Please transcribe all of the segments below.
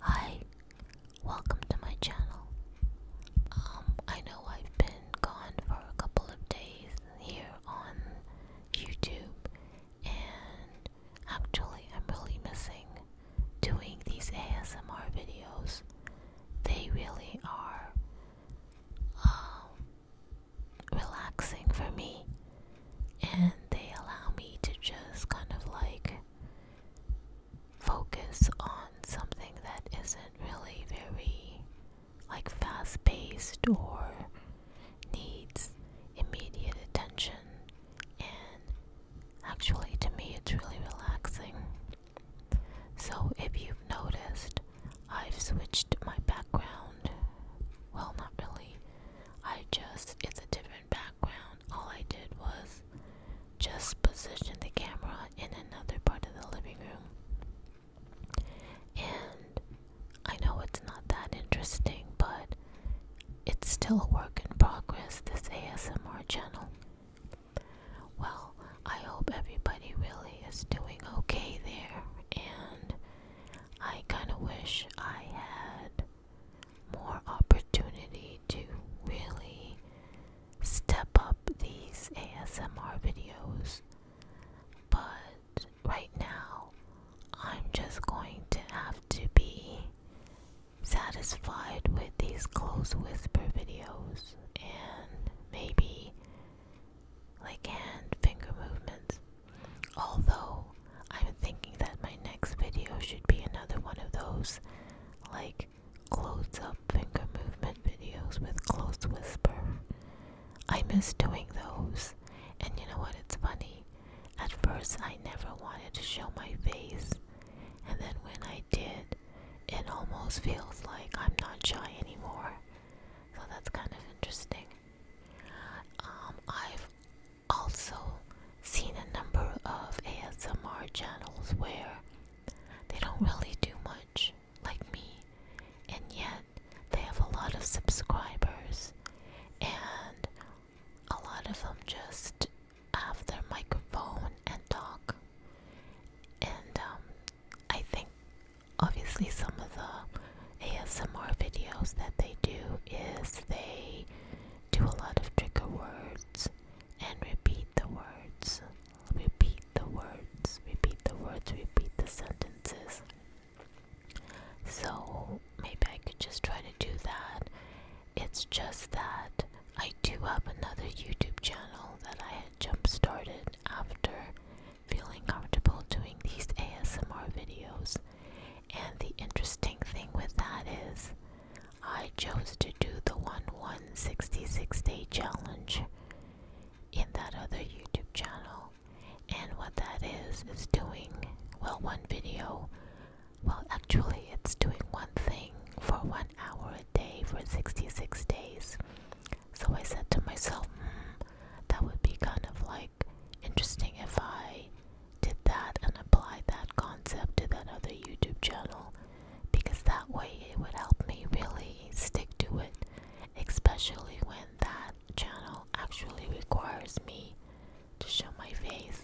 Hi, welcome to my channel. Um, I know I've been gone for a couple of days here on YouTube, and actually, I'm really missing doing these ASMR videos. They really are um, relaxing for me and they allow me to just kind of like focus on something that isn't really very like fast paced or needs immediate attention and actually to me it's really relaxing so if you've noticed i've switched my background well not really i just it's a different background all I did was just position the camera in another part of the living room. And I know it's not that interesting, but it's still a work in progress, this ASMR channel. Well, I hope everybody really is doing okay there, and I kind of wish I had more opportunity to really step up these ASMR videos. But right now, I'm just going to have to be satisfied with these close whisper videos and maybe like hand finger movements. Although, I'm thinking that my next video should be another one of those, like, close up finger movement videos with close whisper. I miss doing those, and you know what? It's funny. At first, I never wanted to show my face, and then when I did, it almost feels like I'm not shy anymore. So that's kind of interesting. Um, I've also seen a number of ASMR channels where they don't really do much, like me, and yet they have a lot of subscribers, and a lot of them just have their microphone and talk. And um, I think obviously some of the ASMR videos that they do is they do a lot of trigger words and repeat the words, repeat the words, repeat the words, repeat the sentences. So maybe I could just try to do that. It's just that I do have another YouTube channel that I had jump started after feeling comfortable doing these ASMR videos. And the interesting thing with that is, I chose to do the 1 166 day challenge in that other YouTube channel. And what that is, is doing, well, one video. Well, actually, it's doing one thing for one hour a day for 66 days. So I said to myself, hmm, that would be kind of like interesting if I did that and applied that concept to that other YouTube channel because that way it would help me really stick to it, especially when that channel actually requires me to show my face.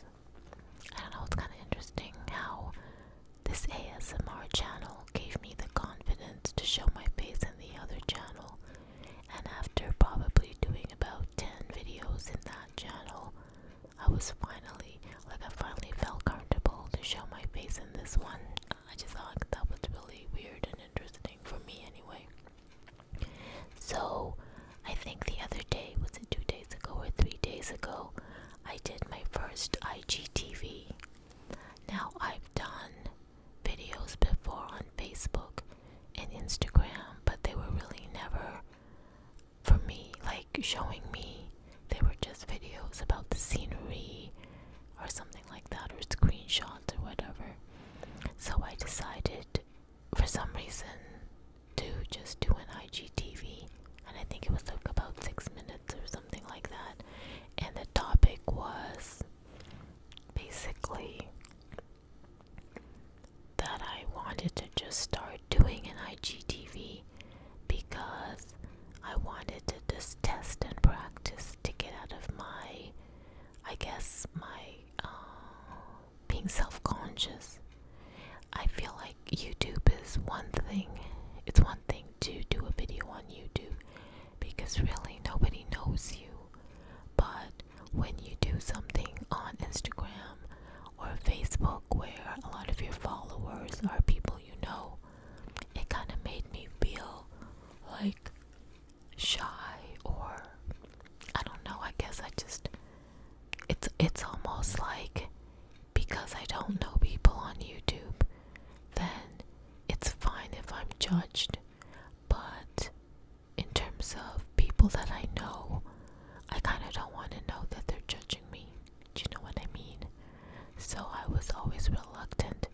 I don't know, it's kind of interesting how this ASMR channel gave me the confidence to show my face in the other channel and after probably doing about 10 videos in that channel, I was finally, like I finally felt comfortable to show my face in this one. I just thought that was really weird and interesting for me anyway. So, I think the other day, was it two days ago or three days ago, I did my first IGTV. Now, I've done videos before on Facebook and Instagram, but they were really never for me, like showing me. They were just videos about the scenery or something like that, or screenshots or whatever. So I decided for some reason to just do an IGTV, and I think it was like about six minutes or something like that. And the topic was basically that I wanted to just start doing an IGTV because I wanted to just test and practice to get out of my, I guess, my uh, being self conscious. I feel like YouTube is one thing, it's one thing to do a video on YouTube because really nobody knows you. But when you do something on Instagram or Facebook where a lot of your followers are people you know, it kind of made me feel like shy or I don't know, I guess I just it's it's almost like because I don't know people on YouTube, then it's fine if I'm judged but in terms of people that I know, I kind of don't want to know that they're judging me. Do you know what I mean? So I was always reluctant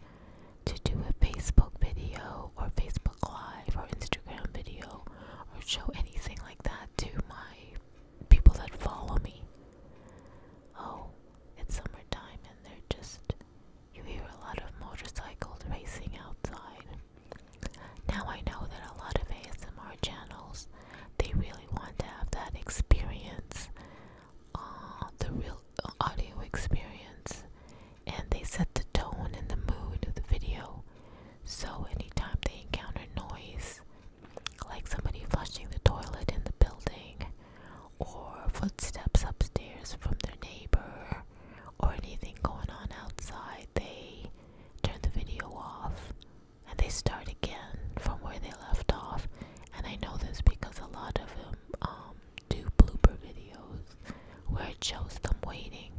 to do a Facebook video or Facebook Live or Instagram video or show anything like that to my people that follow me. Oh, it's summertime and they're just you hear a lot of motorcycles racing outside. Now I know that a lot of ASMR channels they really want to have that experience, uh, the real uh, audio experience, and they set the tone and the mood of the video. So anytime they encounter noise, like somebody flushing the toilet in the building, or footsteps upstairs from their neighbor or anything going on outside, they turn the video off and they start again from where they left off. And I know this because a lot of them um, do blooper videos where it shows them waiting.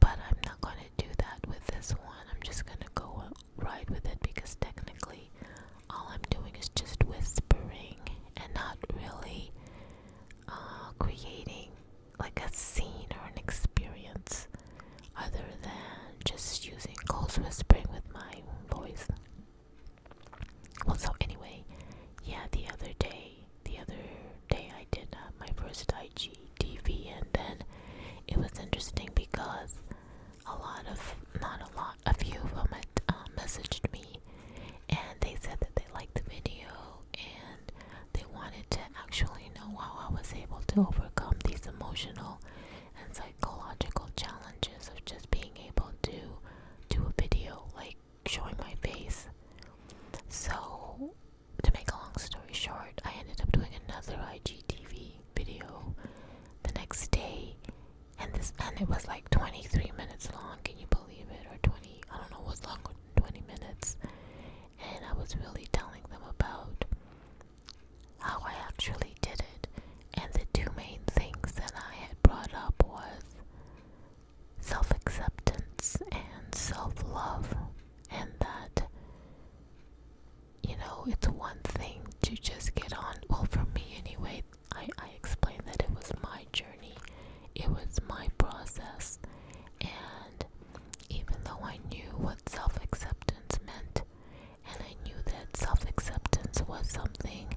But I'm not going to do that with this one. I'm just going to go ride with it because technically all I'm doing is just whispering and not really uh, creating like a scene or an experience other than just using close whispering with my voice. Well, so anyway, yeah, the other day, the other day I did uh, my first IGTV, and then it was interesting because a lot of, not a lot, a few of them had uh, messaged me and they said that they liked the video and they wanted to actually know how I was able to overcome these emotional and psychological challenges of just being able to do a video like showing my face. So, to make a long story short, I ended up doing another IGTV video the next day and this and it was like 23 minutes long can you believe it or 20 i don't know what's longer than 20 minutes and i was really telling them about how i actually did it and the two main things that i had brought up was self-acceptance and self-love and that you know it's one thing to just get on well for me anyway I, explained that it was my journey, it was my process, and even though I knew what self acceptance meant, and I knew that self acceptance was something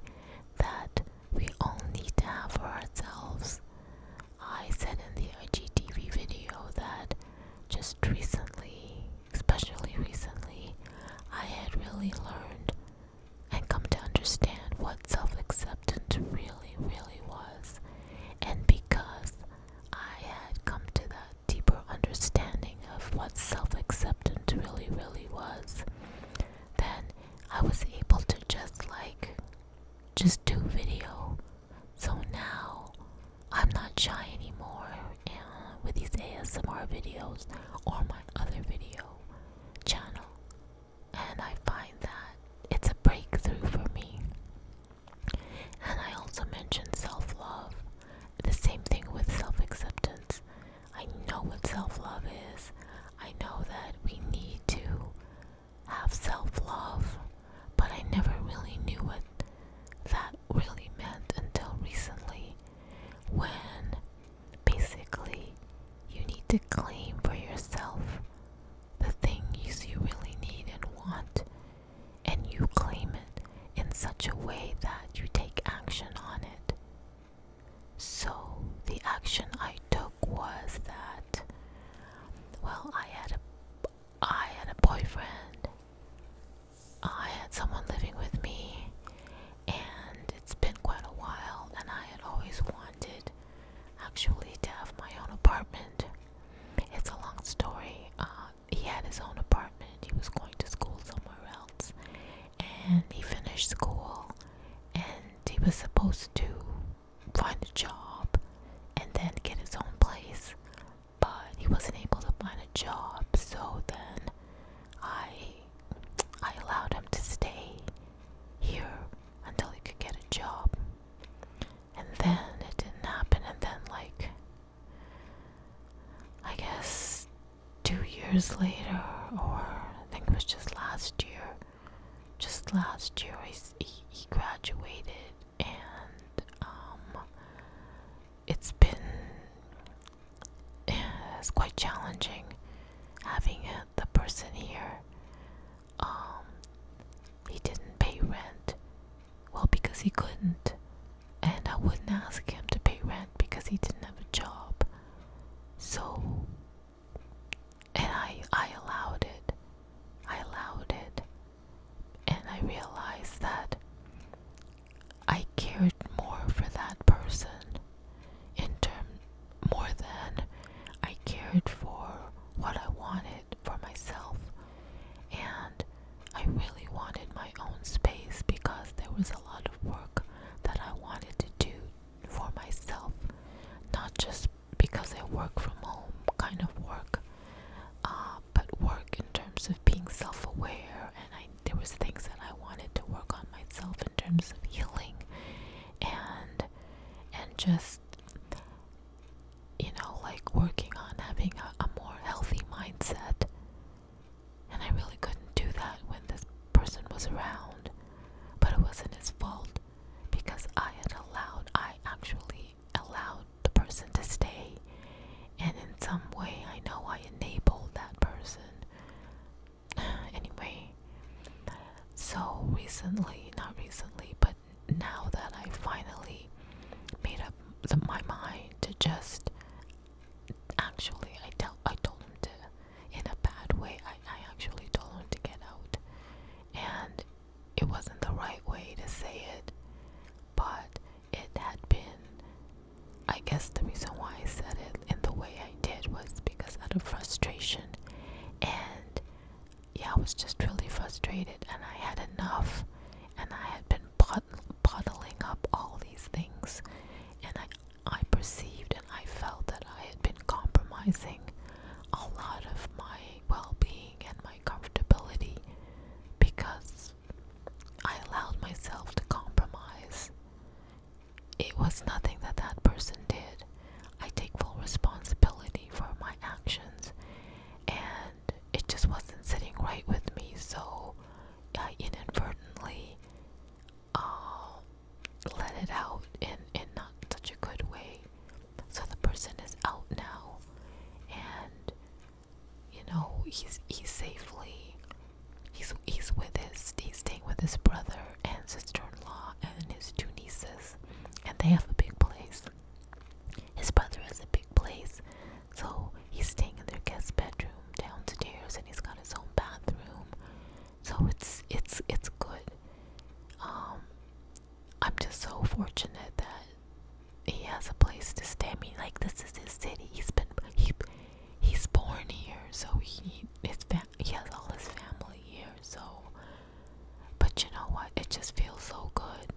that we all need to have for ourselves, I said in the IGTV video that just recently, especially recently, I had really learned and come to understand what self acceptance really, really was. And because I had come to that deeper understanding of what self acceptance really, really was, then I was able to just like, just do video. So now I'm not shy anymore uh, with these ASMR videos or my other video channel, and I find that it's a breakthrough for me. And I also mention self love, the same thing with self acceptance. I know what self love is, I know that we need to have self love, but I never really knew what that really meant until recently when Basically, you need to claim for yourself the things you really need and want, and you claim it in such a way that you take action on it. So, the action I took was that, well, I had a, I had a boyfriend. I had someone living with me, and it's been quite a while, and I had always wanted actually to have my own apartment. It's a long story. Uh, he had his own apartment, he was going to school somewhere else, and he finished school, and he was supposed to find a job and then get his own place, but he wasn't able to find a job, so then I I allowed him to stay here until he could get a job. And then it didn't happen, and then, like, I guess two years later, or I think it was just last year, just last year, he, he graduated, and um, it's been it's quite challenging having the person here. Um, he didn't pay rent. Well, because he couldn't, and I wouldn't ask him to pay rent because he didn't have a job. So, and I I allowed it. I allowed it, and I realized that I cared more for that person in terms more than I cared for what I wanted for myself. And I really wanted my own space because there was a lot of work that I wanted to do for myself, not just because I work from home kind of work, uh, but work in terms of being self aware and I there was things that I wanted to work on myself in terms of healing and and just you know like working on having a more healthy mindset. And I really couldn't do that when this person was around. But it wasn't his fault because I had allowed I actually allowed the person to stay and in some way, I know I enabled that person. anyway, so recently, not recently, but now that I finally made up my mind to just actually, I tell, I told him to, in a bad way, I, I actually told him to get out. And it wasn't the right way to say it, but it had been I guess the reason why I said it in the way I did was because out of frustration and yeah, I was just really frustrated and I had enough and I had been bott bottling up all these things and I I perceived and I felt that I had been compromising a lot of my well-being and my comfortability because I allowed myself to compromise. It was nothing that that person did. I take full responsibility for my actions, and it just wasn't sitting right with me, so I inadvertently um, let it out in, in not such a good way. So the person is out now, and you know he's he's safely he's he's with his he's staying with his brother and sister-in-law and his two nieces and they have a big place his brother has a big place so he's staying in their guest bedroom downstairs and he's got his own bathroom so it's it's it's good um I'm just so fortunate that he has a place to stay. Me, like this is his city. He's been he he's born here, so he his fam he has all his family here. So, but you know what? It just feels so good.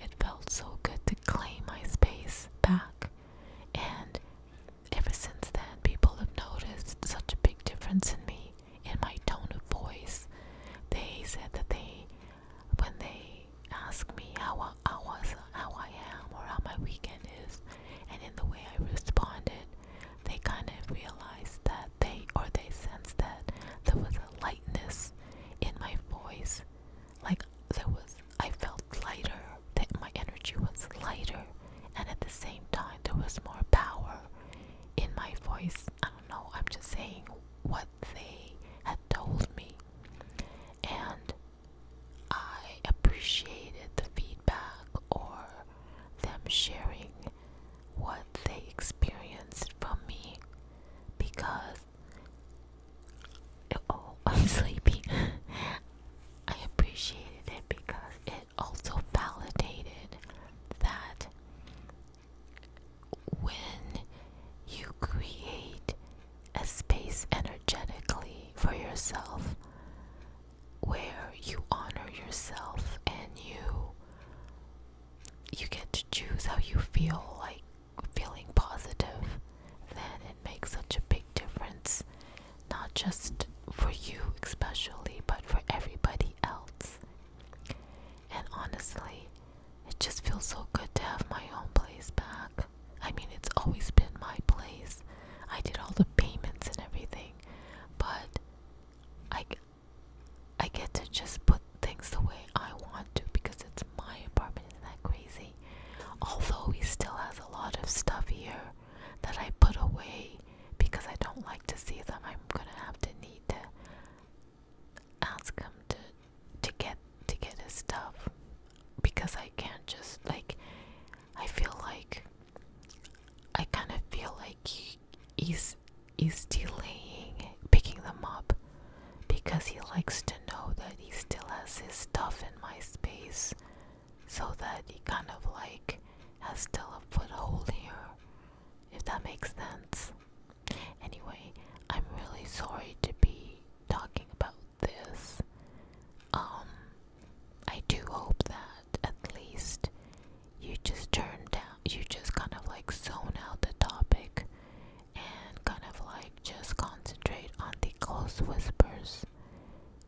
It felt so good to claim my space back, and ever since then, people have noticed such a big difference in me, in my tone of voice. They said that they when they ask me how I, I was, how I am, or how my weekend is, and in the way I responded, they kind of realized that they or they sensed that there was a lightness in my voice, like there was I felt lighter, that my energy was lighter, and at the same time there was more power in my voice. I don't know. I'm just saying what they had told me, and I appreciated the feedback or them sharing what they experienced from me because oh I'm sleepy I appreciated it because it also validated that when you create a space energetically for yourself where you honor yourself and you you get to choose how you feel like feeling positive then it makes such a big difference not just for you especially but for everybody else and honestly it just feels so good to have my own place back. I mean, it's always been my place. I did all the payments and everything, but I, I get to just put things the way I want to because it's my apartment. Isn't that crazy? Although he still has a lot of stuff here that I put away because I don't like to see them. I'm gonna have to need to ask him to to get to get his stuff because I can't just like I feel like I kind of feel like he's he's delaying picking them up because he likes to know that he still has his stuff in my space so that he kind of like has still a foothold here if that makes sense Anyway, I'm really sorry to be talking about this. Um, I do hope that at least you just turned down, you just kind of like zone out the topic and kind of like just concentrate on the close whispers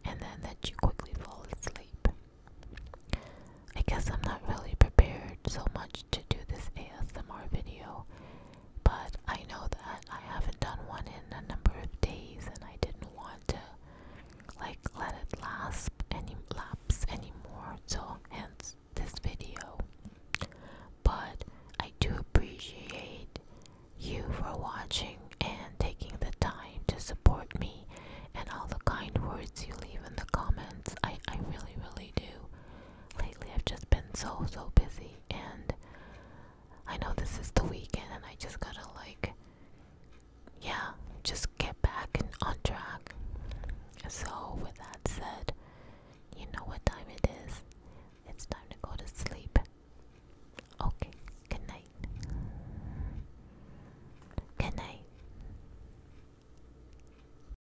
and then that you quickly fall asleep. I guess I'm not really prepared so much to do this ASMR video, but I know that I haven't done one in a number of days and I didn't want to like let it lapse any lapse anymore, so hence this video. But I do appreciate you for watching and taking the time to support me and all the kind words you leave in the comments. I, I really, really do lately I've just been so, so busy, and I know this is the weekend, and I just gotta, like, yeah, just get back and on track. So, with that said, you know what time it is. It's time to go to sleep. Okay, good night. Good night.